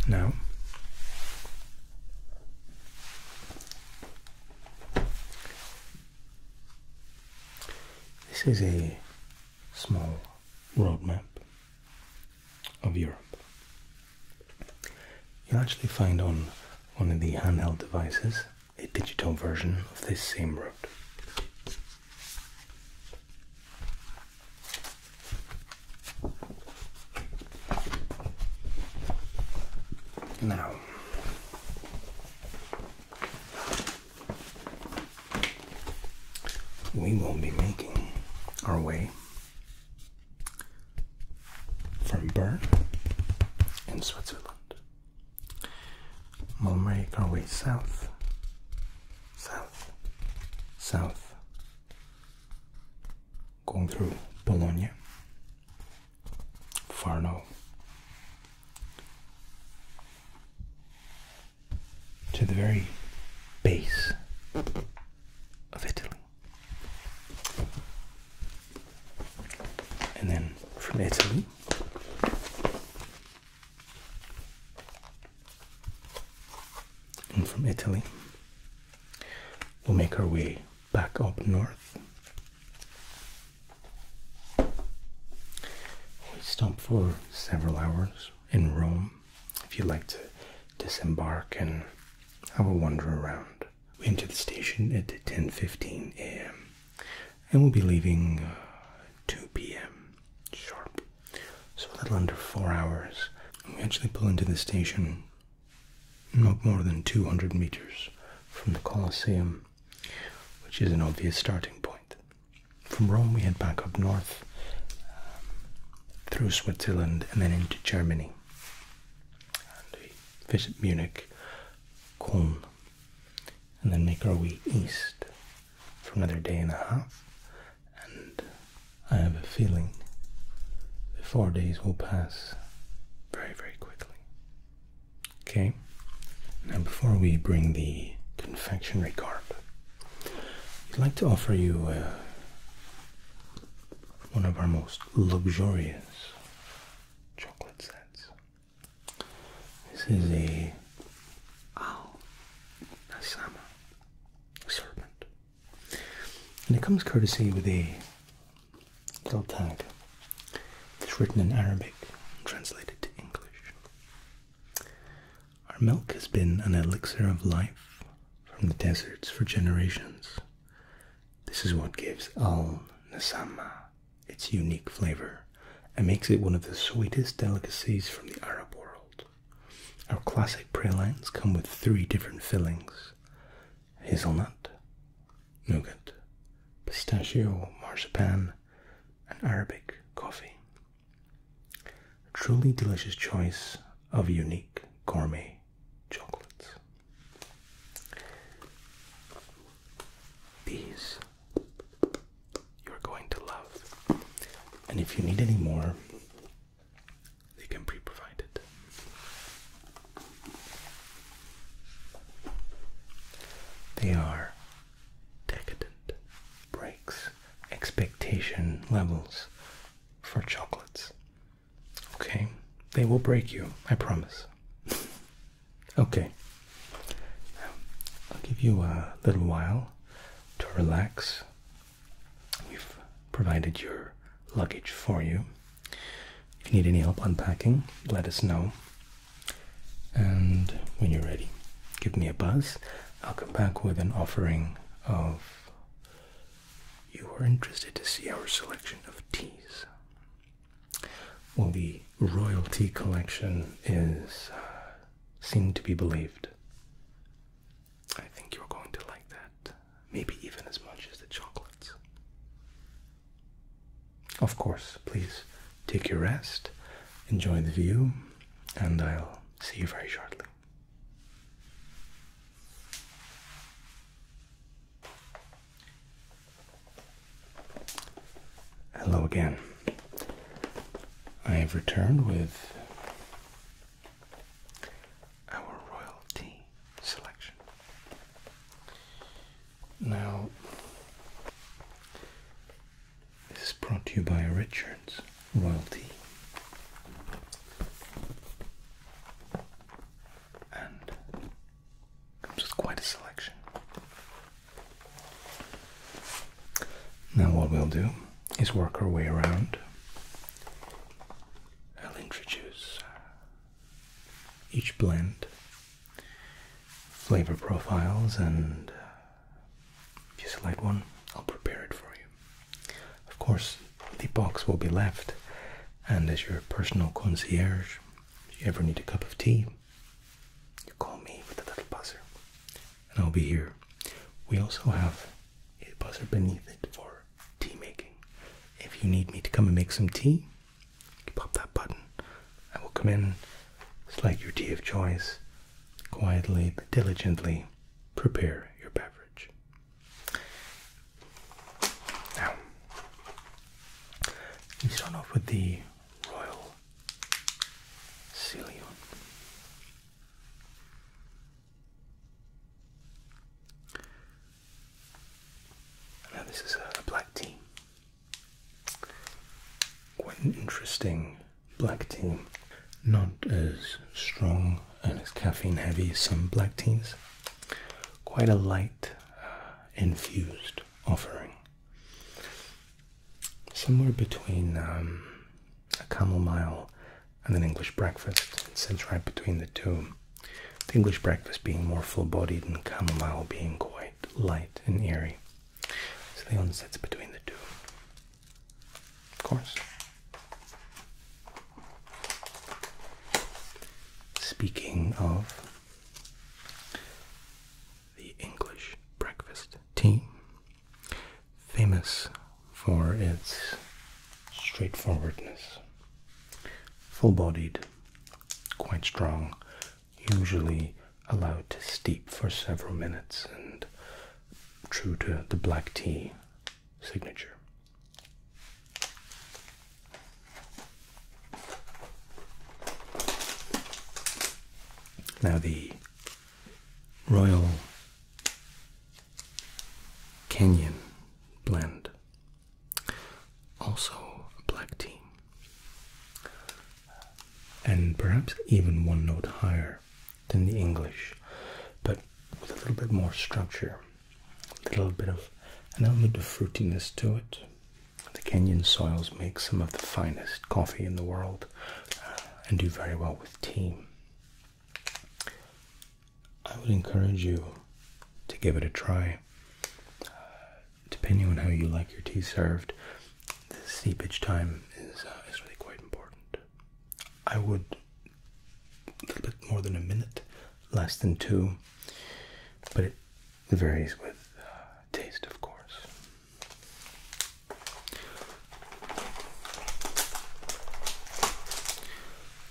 now this is a small roadmap of Europe. You'll actually find on one of the handheld devices a digital version of this same route. Now, we will be making our way from Bern in Switzerland. We'll make our way south, south, south, going through Bologna, Farno, to the very base of Italy. And then from Italy, and from Italy, we'll make our way back up north. We stop for several hours in Rome if you'd like to disembark and I will wander around. We enter the station at 10:15 a.m. and we'll be leaving uh, 2 p.m. sharp. So a little under four hours. we actually pull into the station not more than 200 meters from the Colosseum, which is an obvious starting point. From Rome, we head back up north um, through Switzerland and then into Germany and we visit Munich, Cologne, and then make our way east for another day and a half. And I have a feeling the four days will pass very, very quickly. Okay, now before we bring the confectionery cart, I'd like to offer you a one of our most luxurious chocolate sets. This is a owl, oh, a serpent, and it comes courtesy with a little tag. It's written in Arabic, and translated to English. Our milk has been an elixir of life from the deserts for generations. This is what gives al nasama its unique flavor and makes it one of the sweetest delicacies from the Arab world. Our classic pralines come with three different fillings hazelnut, nougat, pistachio, marzipan, and Arabic coffee. A truly delicious choice of unique gourmet chocolates. These you're going to love. And if you need any more, they can pre-provide it. They are decadent breaks expectation levels for chocolates. Okay, they will break you, I promise. okay, I'll give you a little while to relax. We've provided your luggage for you. If you need any help unpacking, let us know. And when you're ready, give me a buzz. I'll come back with an offering of you are interested to see our selection of teas. Well, the royal tea collection is uh, seen to be believed. I think you're going to like that, maybe even as much as the chocolates. Of course, please take your rest, enjoy the view, and I'll see you very shortly. Hello again. I have returned with our royal selection. Now, this is brought to you by Richards Royalty and comes with quite a selection. Now, what we'll do is work our way around. I'll introduce uh, each blend, flavor profiles, and uh, if you select one, I'll prepare it for you. Of course, the box will be left, and as your personal concierge, if you ever need a cup of tea, you call me with a little buzzer, and I'll be here. We also have a buzzer beneath it for tea making. If you need me to come and make some tea, you pop that button. I will come in, select your tea of choice, quietly but diligently prepare your beverage. Now, we start off with the Royal Ceylon. Now, this is a black team. Quite an interesting black team. Not as strong and it's caffeine heavy, some black teas. Quite a light uh, infused offering. Somewhere between um, a chamomile and an English breakfast. It sits right between the two. The English breakfast being more full bodied and chamomile being quite light and airy. So the one sits between the two. Of course. Speaking of the English breakfast tea, famous for its straightforwardness, full bodied, quite strong, usually allowed to steep for several minutes, and true to the black tea signature. Now, the Royal Kenyan blend, also a black tea, and perhaps even one note higher than the English, but with a little bit more structure a little bit of an element of fruitiness to it. The Kenyan soils make some of the finest coffee in the world uh, and do very well with tea. I would encourage you to give it a try. Uh, depending on how you like your tea served, the steepage time is, uh, is really quite important. I would a little bit more than a minute, less than two, but it varies with uh, taste, of course.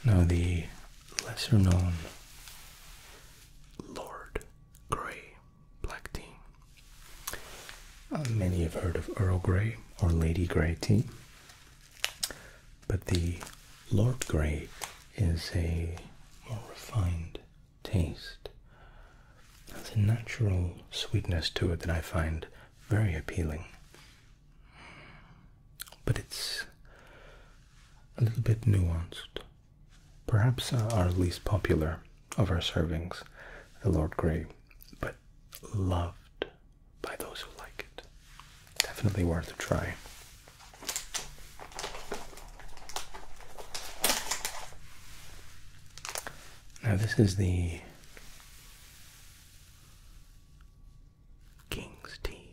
Now, the lesser known Lord Grey black tea. Uh, many have heard of Earl Grey or Lady Grey tea. But the Lord Grey is a more refined taste. Has a natural sweetness to it that I find very appealing. But it's a little bit nuanced. Perhaps our least popular of our servings, the Lord Grey, but loved by those who like it. Definitely worth a try. Now, this is the King's Tea.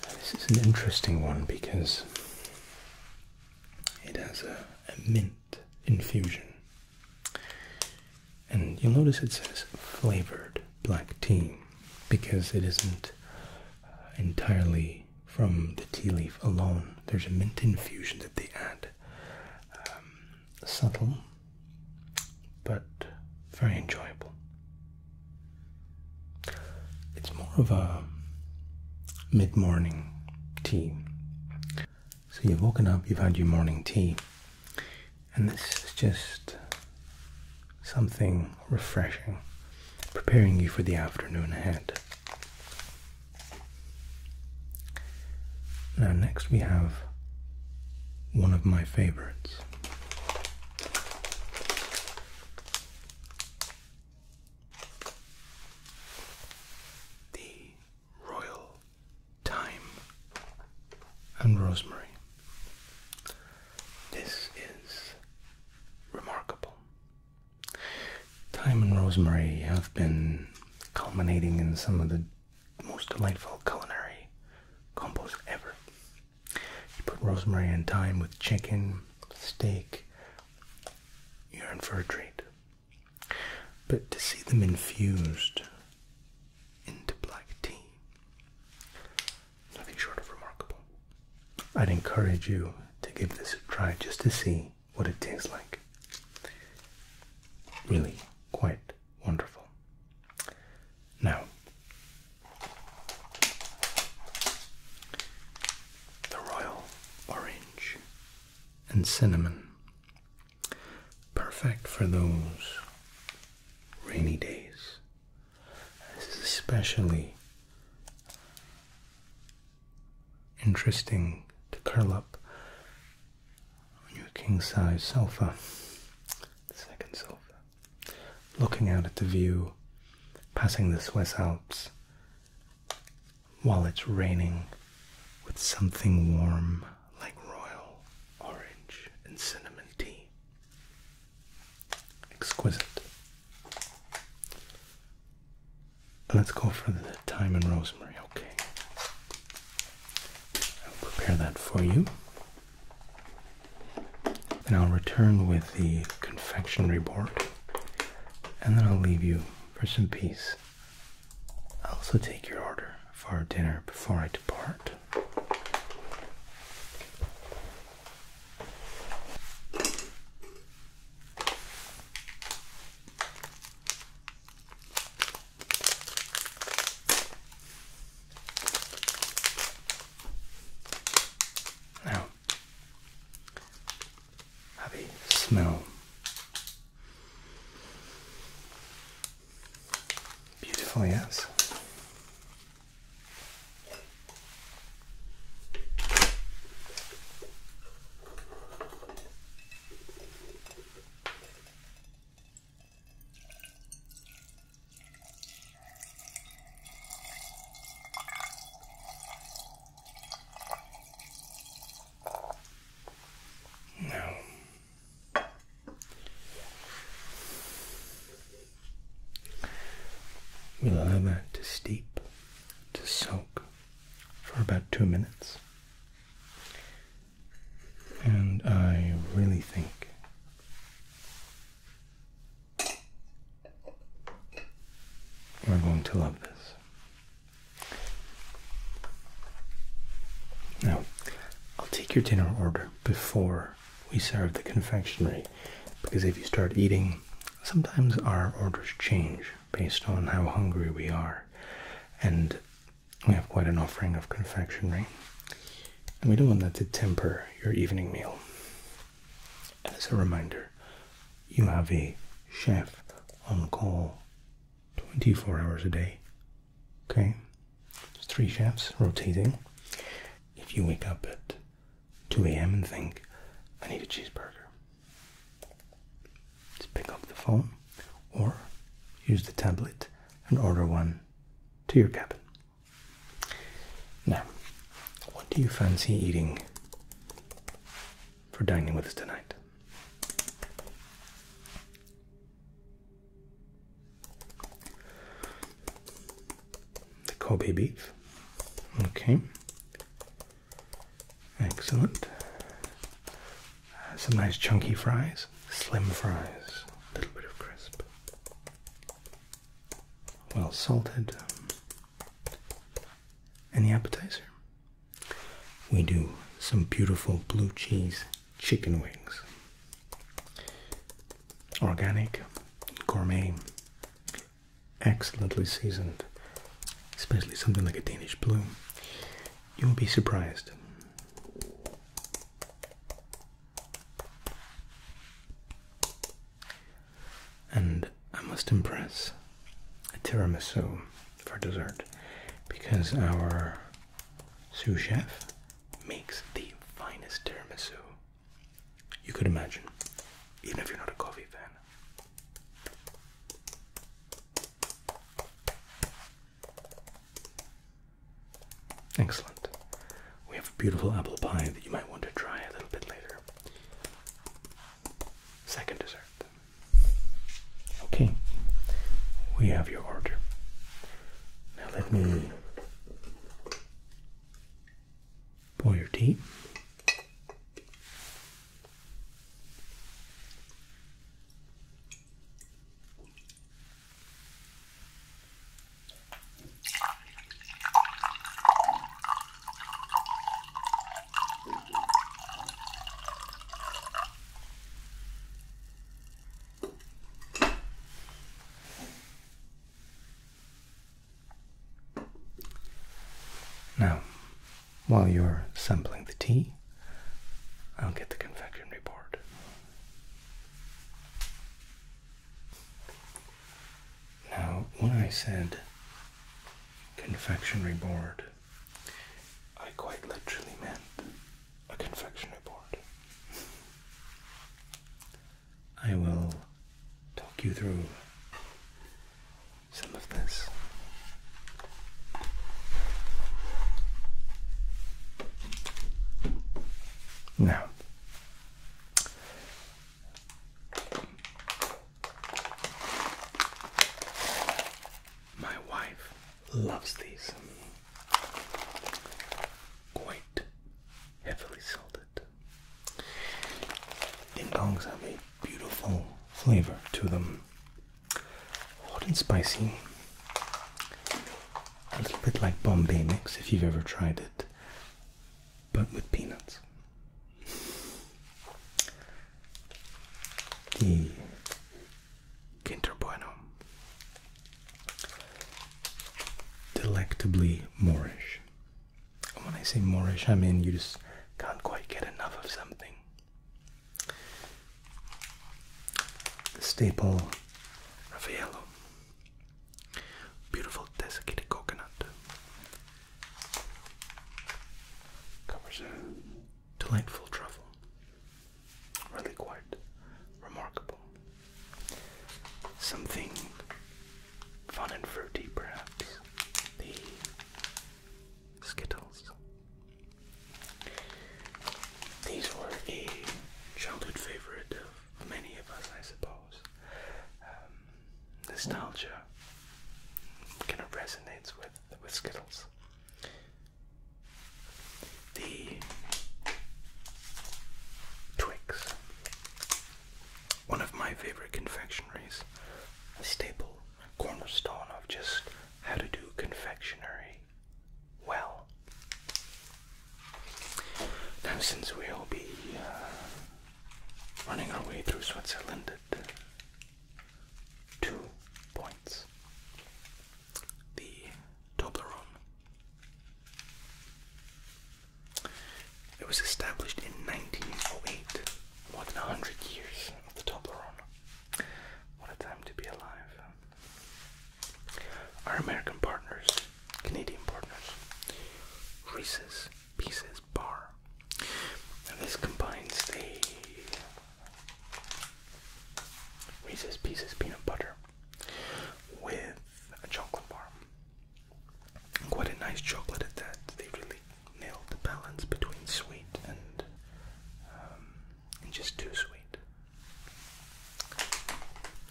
This is an interesting one because it has a, mint infusion. And you'll notice it says flavored black tea because it isn't uh, entirely from the tea leaf alone. There's a mint infusion that they add. Um, subtle, but very enjoyable. It's more of a mid morning tea. So you've woken up, you've had your morning tea, and this is just something refreshing, preparing you for the afternoon ahead. Now, next we have one of my favorites. The royal, thyme, and rosemary. This is remarkable. Thyme and rosemary have been culminating in some of the most delightful culinary combos ever. You put rosemary and thyme with chicken, steak, you're in for a treat. But to see them infused into black tea. Nothing short of remarkable. I'd encourage you to give this a try just to see what it tastes like. Really quite wonderful. Now, the royal orange and cinnamon Perfect for those rainy days. especially interesting to curl up on your king size sofa, second sofa, looking out at the view, passing the Swiss Alps while it's raining with something warm like royal orange and cinnamon tea. Exquisite. Let's go for the thyme and rosemary, okay? I'll prepare that for you. and I'll return with the confectionery board. And then I'll leave you for some peace. I'll also take your order for dinner before I depart. Now, have a smell. Beautiful, yes. No. We'll allow that to steep, to soak for about two minutes. And I really think we're going to love this. Now, I'll take your dinner order before we serve the confectionery because if you start eating, sometimes our orders change based on how hungry we are. And we have quite an offering of confectionery. And we don't want that to temper your evening meal. as a reminder, you have a chef on call 24 hours a day, Okay, three shafts rotating. If you wake up at 2 a.m. and think, I need a cheeseburger, just pick up the phone or use the tablet and order one to your cabin. Now, what do you fancy eating for dining with us tonight? The Kobe beef. Okay. Excellent. Some nice chunky fries, slim fries, a little bit of crisp. Well salted. Any appetizer. We do some beautiful blue cheese chicken wings. Organic, gourmet, excellently seasoned, especially something like a Danish blue. You'll be surprised. And I must impress a tiramisu for dessert because our sous chef makes the finest tiramisu you could imagine, even if you're not a coffee fan. Excellent. We have a beautiful apple pie that you might want to try a little bit later. Second dessert. Okay, we have your order. Now let me pour your tea. Now, while you're sampling the tea, I'll get the confectionery board. Now, when I said confectionery board, I quite literally meant a confectionery board. I will talk you through some of this. Now, my wife loves these quite heavily salted. Ding dongs have a beautiful flavor to them. Hot and spicy. A little bit like Bombay mix if you've ever tried it, but with peanuts. The Quinter Bueno. Delectably Moorish. when I say Moorish, I mean you just can't quite get enough of something. The staple Raffaello. Beautiful desiccated coconut. Covers delightful truffle really quite remarkable. Something fun and fruity, perhaps. The Skittles. These were a childhood favorite of many of us, I suppose. Um, nostalgia kind of resonates with with Skittles the Twix. One of my favorite confectionaries, a staple, cornerstone of just how to do confectionery well. Now, since we'll be uh, running our way through Switzerland two points, the Toblerone. It was established in 1908, more than 100 years of the Toblerone. What a time to be alive. Our American partners, Canadian partners, Reese's Pieces Bar. And this combines the Reese's Pieces peanut butter with a chocolate bar. Quite a nice chocolate at that. They really nailed the balance between sweet and um, just too sweet.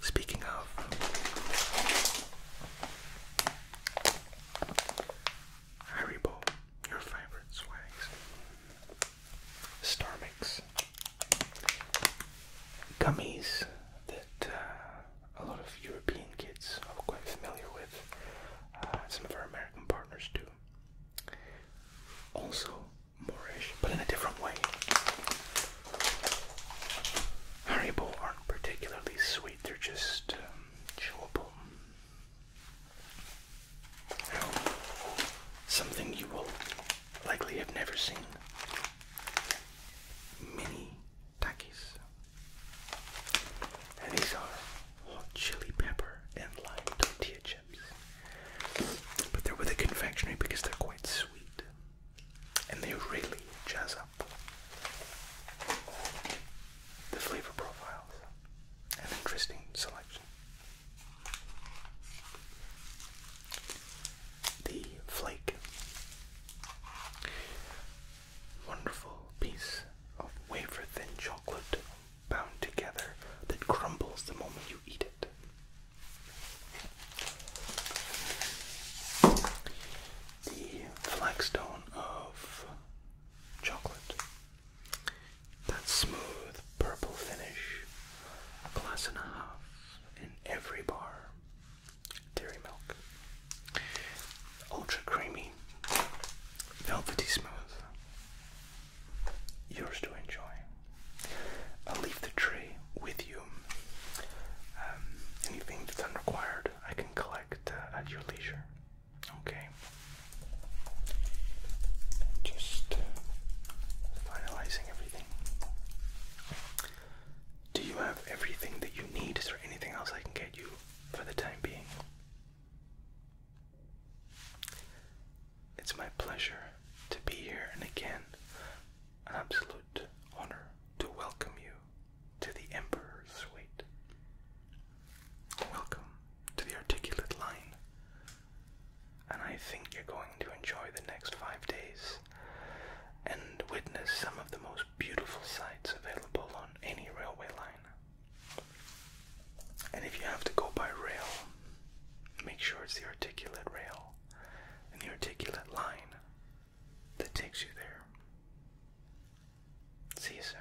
Speaking of Haribo, your favorite swags. Starmix gummies that uh, a lot of European kids are quite familiar with. Uh, some of our American partners do. Also moreish, but in a different way. Haribo aren't particularly sweet, they're just um, chewable. Now, something you will likely have never seen mini takis. And these are hot chili pepper and lime tortilla chips. But they're with a confectionery because they're quite sweet. And they really jazz up the flavor profiles. An interesting selection. The flake. Wonderful piece of wafer thin chocolate bound together that crumbles the moment you eat it. The flagstone of chocolate. That smooth purple finish. A glass and a half in every bar. Dairy milk. Ultra creamy, velvety smooth. Yours to enjoy. I'll leave the tray with you. Um, anything that's unrequired, I can collect uh, at your leisure. Okay. Just uh, finalizing everything. Do you have everything that you need? Is there anything else I can get you for the time being? It's my pleasure to be here, and again, an absolute honor to welcome you to the Emperor's Suite. Welcome to the Articulate Line and I think you're going to enjoy the next five days and witness some of the most beautiful sights available on any railway line. And if you have to go by rail, make sure it's the articulate rail and the articulate line that takes you there. See you soon.